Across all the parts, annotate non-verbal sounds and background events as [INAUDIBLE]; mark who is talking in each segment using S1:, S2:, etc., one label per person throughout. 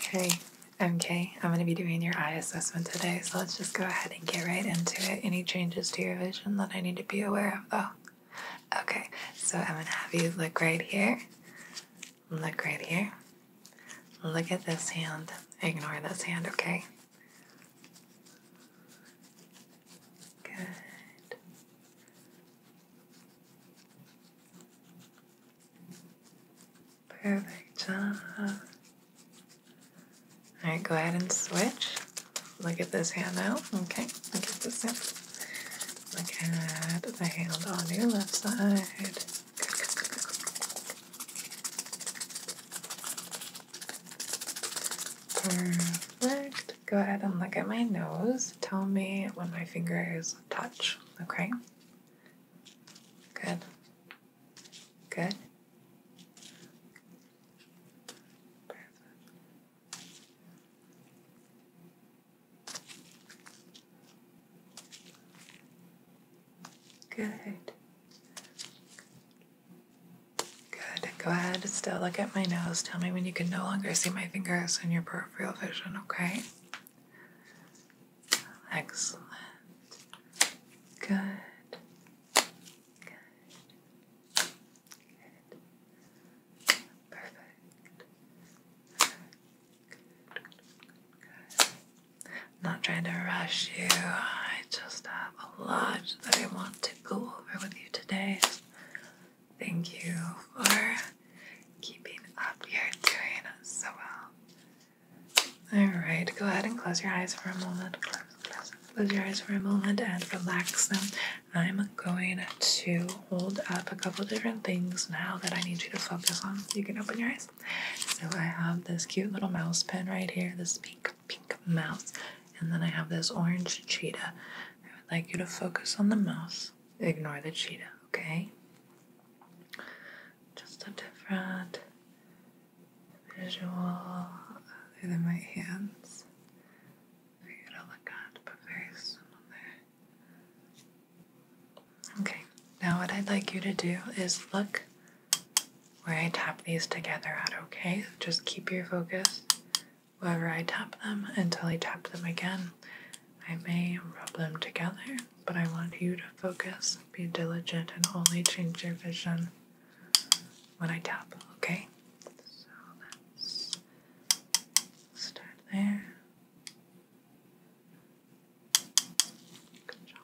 S1: Hey, I'm Kay. I'm going to be doing your eye assessment today, so let's just go ahead and get right into it. Any changes to your vision that I need to be aware of, though? Okay, so I'm going to have you look right here. Look right here. Look at this hand. Ignore this hand, okay? Good. Perfect All right, go ahead and switch. Look at this hand now. Okay, look at this hand. Look at the hand on your left side. Perfect. Go ahead and look at my nose. Tell me when my fingers touch, okay? Good. Good. Good. Good. Go ahead, still look at my nose. Tell me when you can no longer see my fingers in your peripheral vision, okay? Excellent. Good. Good. Perfect. Good. Good. not trying to rush you. I just have a lot that I want to go over with you today. Thank you for keeping up. You're doing so well. Alright, go ahead and close your eyes for a moment. Close, close, close your eyes for a moment and relax them. I'm going to hold up a couple different things now that I need you to focus on. You can open your eyes. So I have this cute little mouse pen right here, this pink, pink mouse. And then I have this orange cheetah. I would like you to focus on the mouse. Ignore the cheetah, okay? Just a different visual these are my hands for you to look at, but very similar. Okay, now what I'd like you to do is look where I tap these together at, okay? Just keep your focus wherever I tap them until I tap them again. I may rub them together, but I want you to focus, be diligent, and only change your vision when I tap, okay? So let's start there. Good job.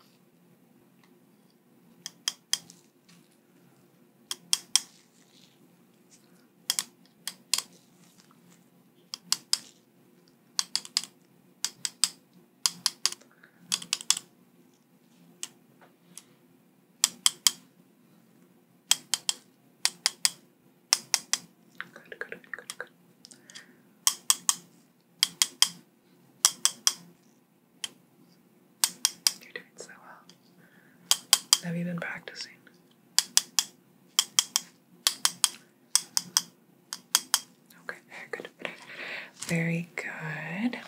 S1: Good, good, good, good. You're doing so well. Have you been practicing? Okay, very good. Very good.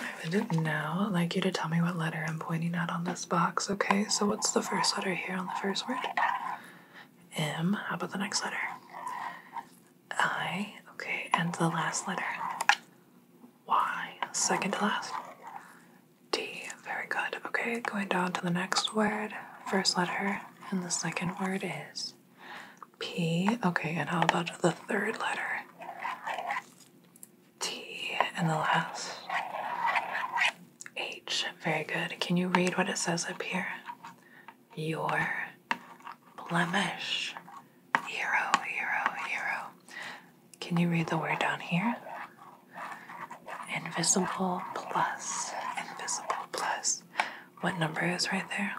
S1: I would now like you to tell me what letter I'm pointing at on this box, okay? So, what's the first letter here on the first word? M. How about the next letter? I. Okay, and the last letter? Y, second to last. D, very good. Okay, going down to the next word, first letter, and the second word is P. Okay, and how about the third letter? T, and the last. H, very good. Can you read what it says up here? Your blemish Hero, hero, hero. Can you read the word down here? Invisible plus. Invisible plus. What number is right there?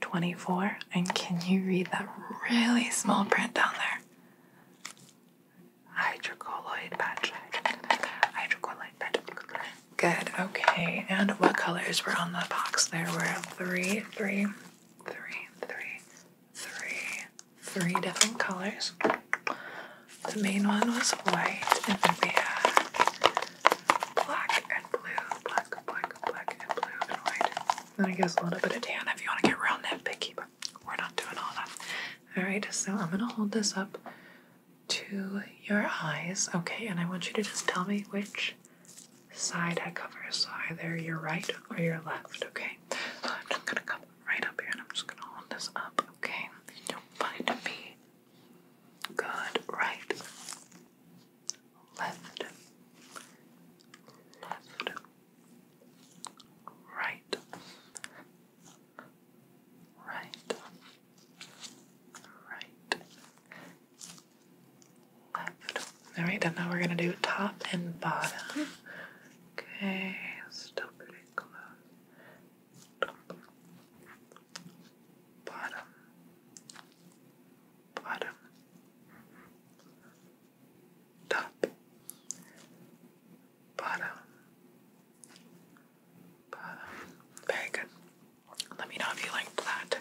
S1: 24. And can you read that really small print down there? Hydrocolloid patch. Hydrocolloid patch. Good. Okay. And what colors were on the box? There were three, three, three, three, three, three different colors. The main one was white, and then we had black and blue, black, black, black, and blue, and white. Then I guess a little bit of tan if you want to get real nitpicky, but we're not doing all that. Alright, so I'm going to hold this up to your eyes, okay? And I want you to just tell me which side I cover. So either your right or your left, okay? So I'm just gonna come right up here and I'm just gonna hold this up, okay? You'll find me. Good, right, left, left, right, right, right, all right, then now we're gonna do top and bottom. Okay, still pretty close. Top, bottom, bottom, top, bottom, bottom. Very good. Let me know if you like that.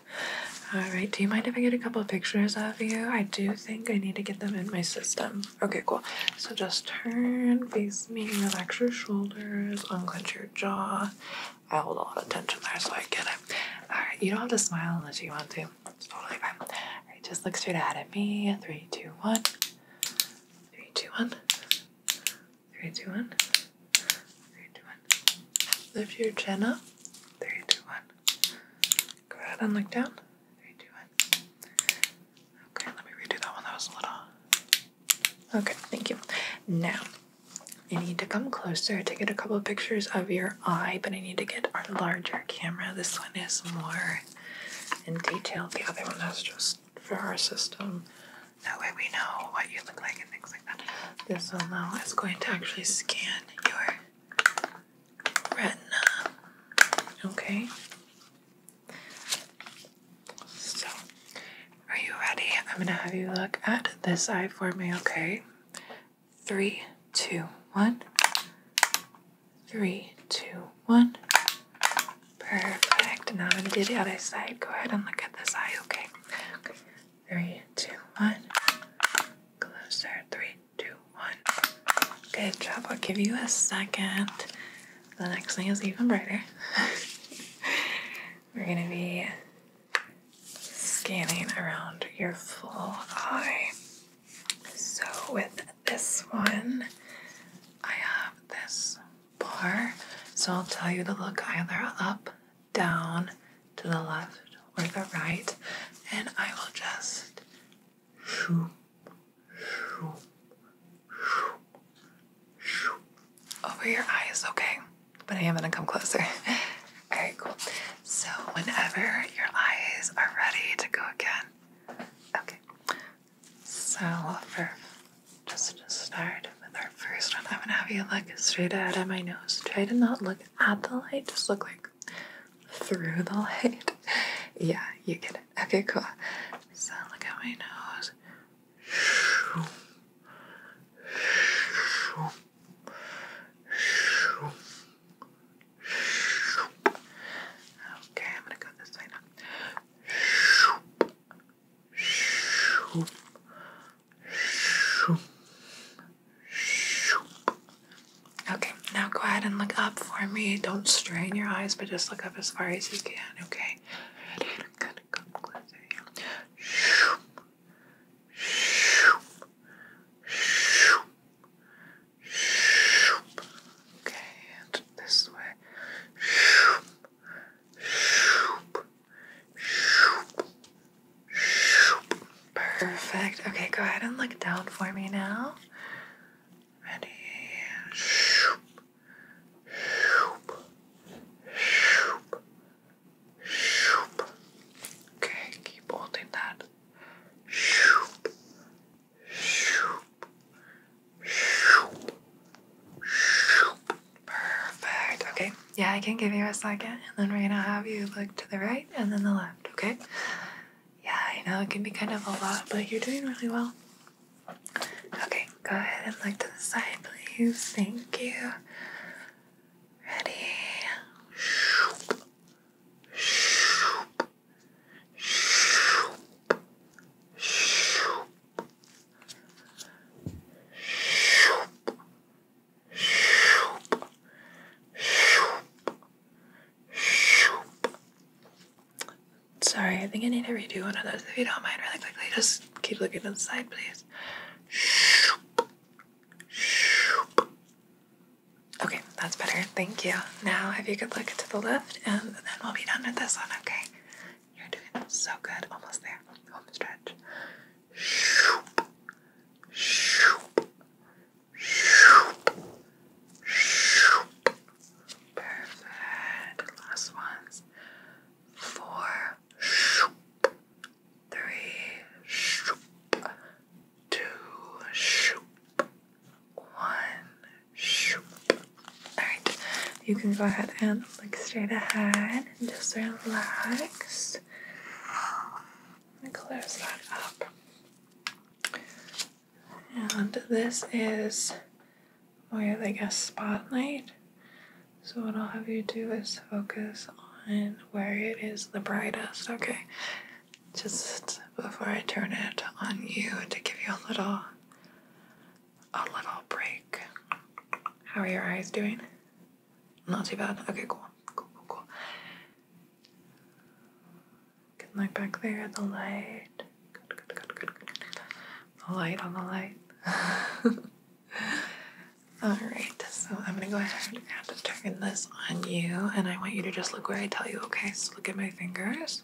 S1: Alright, do you mind if I get a couple of pictures of you? I do think I need to get them in my system. Okay, cool. So just turn, face me, relax your shoulders, unclench your jaw. I hold a lot of tension there, so I get it. Alright, you don't have to smile unless you want to. It's totally fine. Alright, just look straight ahead at me. Three, two, one. Three, two, one. Three, two, one. Three, two, one. Lift your chin up. Three, two, one. Go ahead and look down. Three, two, one. Okay, let me redo that one. That was a little. Okay, thank you. Now, I need to come closer to get a couple of pictures of your eye, but I need to get our larger camera. This one is more in detail. The other one is just for our system. That way we know what you look like this one now is going to actually scan your retina. Okay. So, are you ready? I'm gonna have you look at this eye for me, okay? Three, two, one. Three, two, one. Perfect. Now I'm gonna do the other side. Go ahead and look at this eye, Okay three, two, one. Closer, three, two, one. Good job. I'll give you a second. The next thing is even brighter. [LAUGHS] We're gonna be scanning around your full eye. So, with this one, I have this bar. So, I'll tell you to look either up down to the left or the right, and I will just shoop, shoop, shoop, shoop over your eyes, okay? But I am gonna come closer. Okay, [LAUGHS] cool. So, whenever your eyes are ready to go again, okay. So, for just to start with our first one, I'm gonna have you look straight ahead at my nose. Try to not look at the light, just look like through the light. [LAUGHS] yeah, you get it. Okay, cool. So look at my nose. Okay, I'm gonna go this way now. Okay, now go ahead and look up for me. Don't strain your eyes, but just look up as far as you can, okay? Gonna come closer Okay, and this way. Perfect. Okay, go ahead and look down for me now. Ready? Okay, keep holding that. Shoop, shoop, shoop, shoop, Perfect. Okay. Yeah, I can give you a second, and then we're gonna have you look to the right and then the left. Okay. Yeah, I know it can be kind of a lot, but you're doing really well. Okay, go ahead and look to the side, please. Thank you. Ready. Shoop. Shoop. Shoop. Shoop. Sorry, I think I need to redo one of those if you don't mind really quickly. Just keep looking to the side, please. Okay, that's better. Thank you. Now, have you could look to the left, and then we'll be done with this one, okay? You're doing so good. Almost there. Home stretch. Shoop. Shoop. Shoop. Shoop. Perfect. Last ones. Four. Shoop. Three. Shoop. Two. Shoop. One. Shoop. Alright, you can go ahead and look straight ahead and just relax. i close that up. And this is where, like a spotlight. So what I'll have you do is focus on where it is the brightest, okay? Just before I turn it on you to give you a little a little break. How are your eyes doing? Not too bad. Okay, cool. Cool, cool, cool. Good back there, the light. Good, good, good, good, good. The light on the light. [LAUGHS] Alright, so I'm gonna go ahead and turn this on you, and I want you to just look where I tell you, okay? So look at my fingers.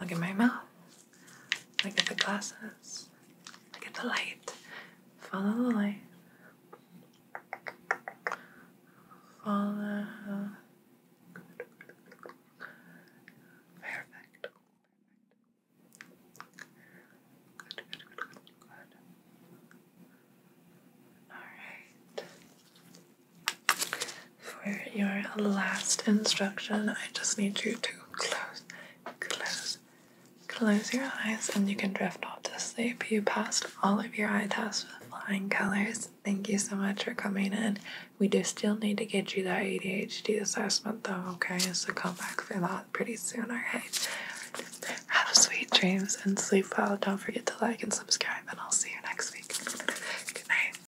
S1: Look at my mouth. Look at the glasses. Look at the light. Follow the light. Follow. Perfect. All right. For your last instruction, I just need you to close, close, close your eyes, and you can drift off to sleep. You passed all of your eye tests with flying colors. Thank you so much for coming in. We do still need to get you that ADHD assessment, though, okay? So come back for that pretty soon, alright? Have sweet dreams and sleep well. Don't forget to like and subscribe, and I'll see you next week. Good night.